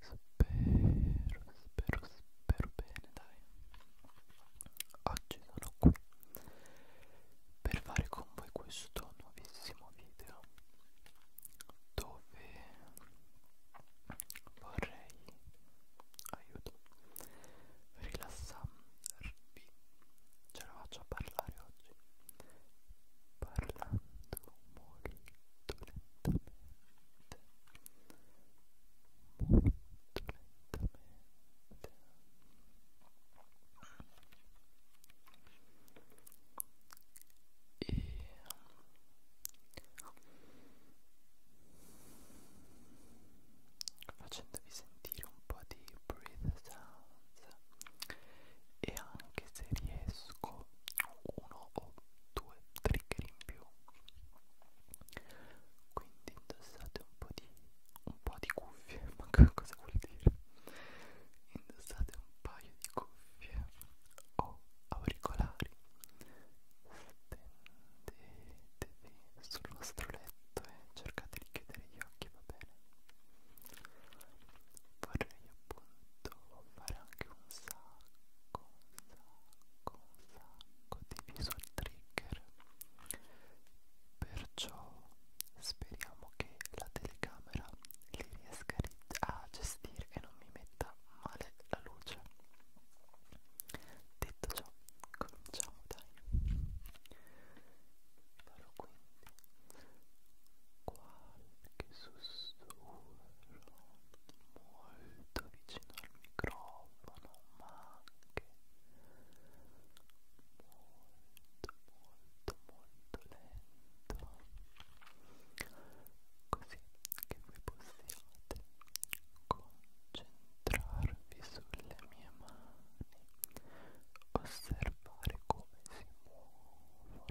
spero, spero, spero bene, dai. Oggi sono qui per fare con voi questo nuovissimo video dove vorrei aiuto rilassarvi ce la faccio a parlare oggi parlando e facendovi sentire un po' di breath sounds e anche se riesco almeno uno o due trigger in più quindi indossate un po' di un po' di cuffie ma cosa vuol dire indossate un paio di cuffie o auricolari stendetevi sul vostro letto e cercate di chiudere gli occhi va bene vorrei appunto fare anche un sacco, un sacco, un sacco di visual trigger perciò speriamo che la telecamera li riesca a gestire e non mi metta male la luce detto ciò cominciamo dai farò quindi 4 che sussurrano molto vicino al microfono ma anche molto molto molto lento così che voi possiate concentrarvi sulle mie mani osservare come si muovono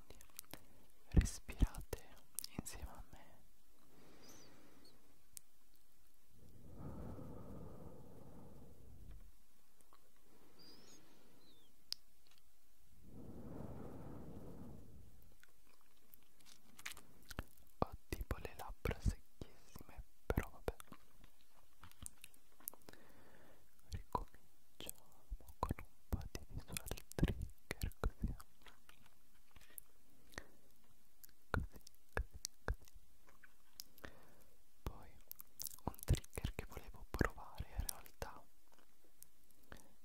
quindi respirate insieme a me ho tipo le labbra secchissime però vabbè ricominciamo con mappa di visual trigger così così così poi un trigger che volevo provare in realtà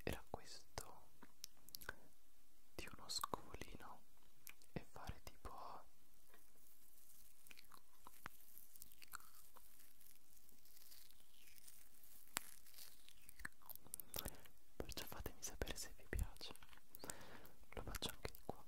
era questo di uno scovolino e fare tipo perciò fatemi sapere se vi piace lo faccio anche di qua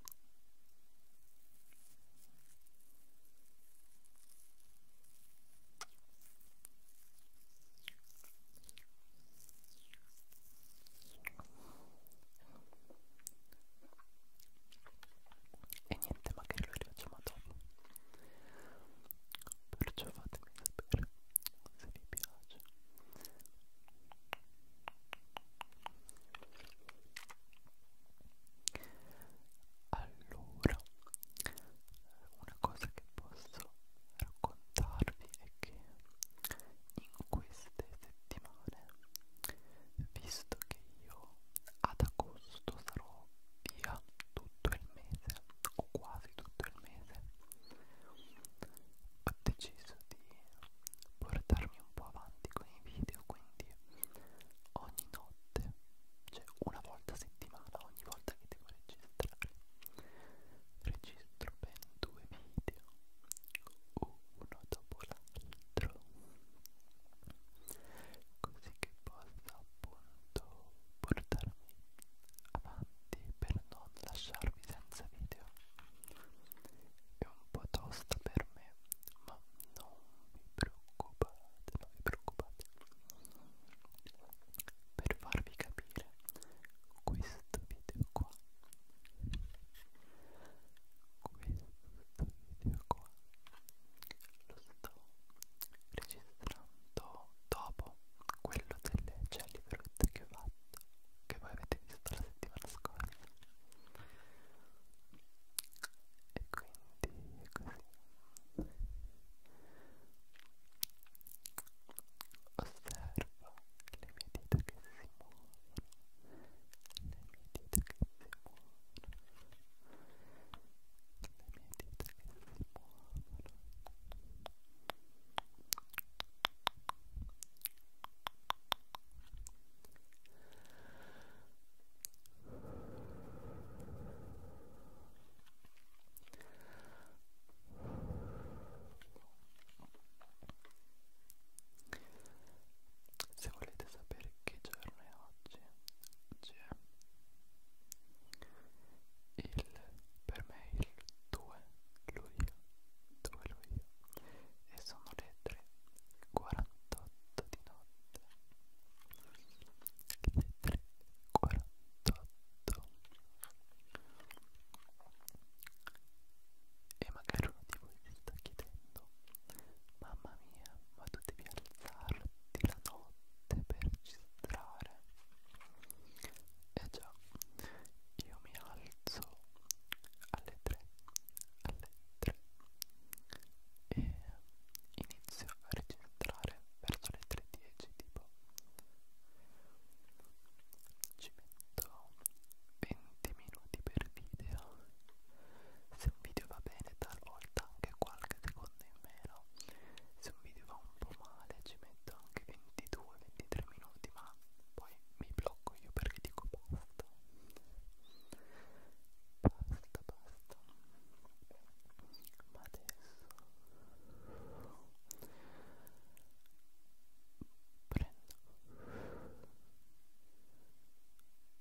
e niente magari lo rilasciamo dopo perciò fatemi sapere se vi piace allora una cosa che posso raccontarvi è che in queste settimane visto che io ad agosto sarò via tutto il mese o quasi tutto il mese ho deciso di portarmi un po' avanti con i video quindi ogni notte cioè una volta a settimana ogni volta che devo registrare registro ben due video uno dopo l'altro così che possa appunto portarmi avanti per non lasciarmi senza video è un po' tosta per me ma non vi preoccupate non vi preoccupate per farvi capire questo video qua questo video qua lo sto registrando dopo quello delle jelly fruit che ho fatto che voi avete visto la settimana scorsa e quindi è così osservo le mie dita che si muovono le mie dita che si muovono mie dita che si muovono se volete sapere che giorno è oggi, oggi è il il, per me il 2 luglio, 2 luglio e sono le 3.48 di notte le 3.48 e magari uno di voi si sta chiedendo mamma mia ma tu devi alzarti la notte per registrare eh già, io mi alzo alle 3, alle 3 e inizio a registrare verso le 3.10 tipo ci metto 20 minuti per video se un video va bene talvolta anche qualche secondo in meno se un video va un po' male ci metto anche 22-23 minuti ma poi mi blocco io perché dico basta basta basta ma adesso prendo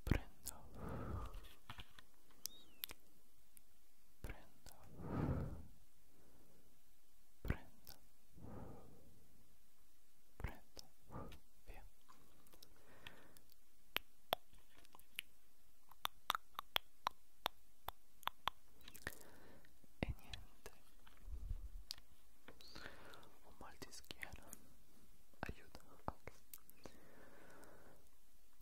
prendo prenda prenda prenda via e niente ho mal di schiena aiuto ok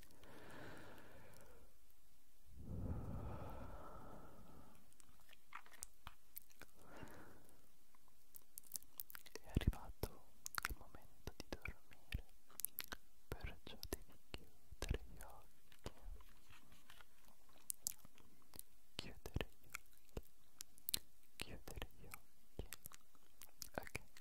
È arrivato il momento di dormire, perciò devi chiudere gli occhi. Chiudere gli occhi. Chiudere gli occhi. Ok.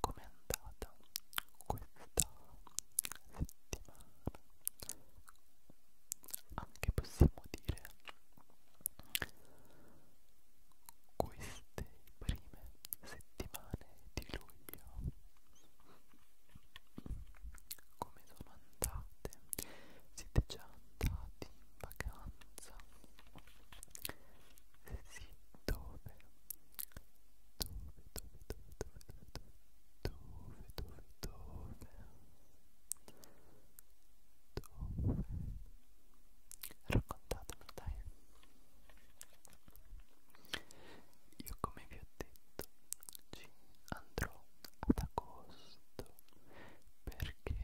Com'è andata questa settimana? Anche ah, possiamo dire queste prime settimane di luglio. Come sono andate? Siete già andati in vacanza? sì, dove? Dove, dove, dove, dove, dove, dove, dove, dove? Dove? Raccontatemelo, dai. Io come vi ho detto ci andrò ad agosto perché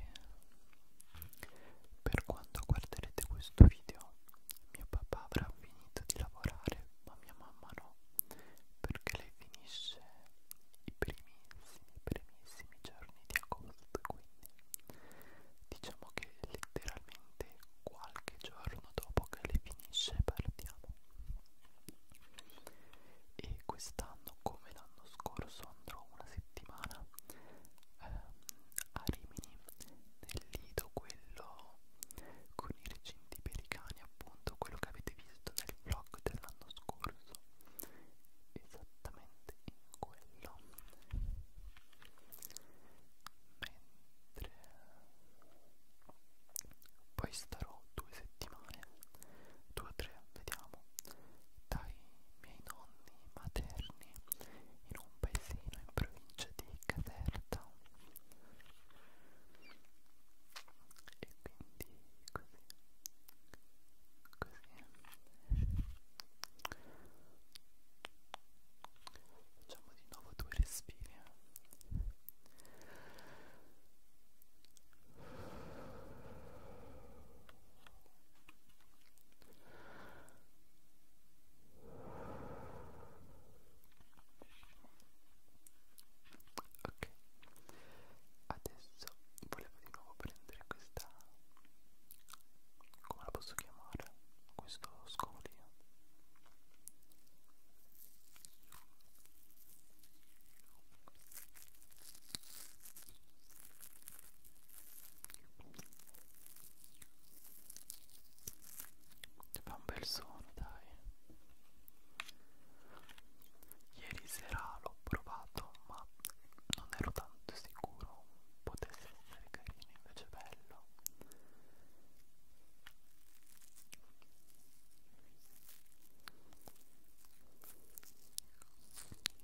per quando guarderete questo video, mio papà avrà finito di lavorare, ma mia mamma no, perché lei finisce i primissimi, primissimi giorni di agosto, quindi diciamo che letteralmente qualche giorno dopo che lei finisce partiamo. E quest'anno, come l'anno scorso, andrò una settimana ehm, a Rimini nel lido quello con i recinti pericani appunto quello che avete visto nel vlog dell'anno scorso esattamente in quello mentre poi starò due settimane due o tre vediamo dai miei nonni materni in un paesino in provincia di Caserta e quindi così così facciamo di nuovo due respiri Ok, adesso volevo di nuovo prendere questa, come la posso chiamare, questo scovolino. Fa un bel suono, dai. Ieri sera l'ho provato, ma non ero tanto sicuro potesse essere carino, invece bello.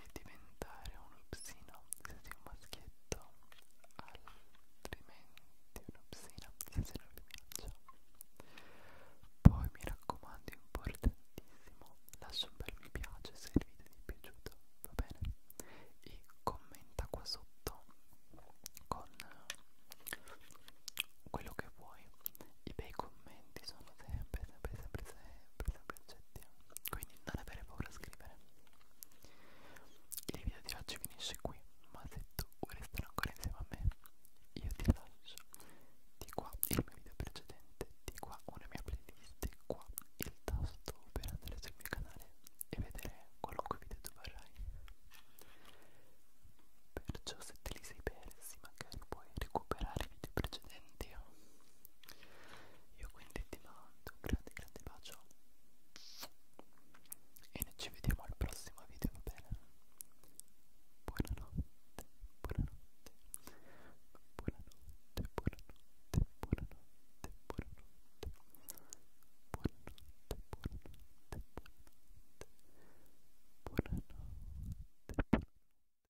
e diventare uno psino se sei un maschietto altrimenti uno psino se sei una femminuccia poi mi raccomando importantissimo lascia un bel mi piace se il video ti è piaciuto va bene e commenta qua sotto con quello che vuoi i bei commenti sono sempre, sempre, sempre, sempre, sempre accetti. Quindi non avere paura a scrivere. Il video di oggi finisce qui, ma se tu vuoi restare ancora insieme a me, io ti lascio di qua il mio video precedente, di qua una mia playlist, di qua il tasto per andare sul mio canale e vedere qualunque video tu vorrai. Perciò se te li sei persi, magari magari puoi recuperare i video precedenti io quindi ti mando un grande grande bacio e noi ci vediamo al prossimo video va bene buonanotte buonanotte buonanotte buonanotte buonanotte buonanotte buonanotte buonanotte buonanotte buonanotte buonanotte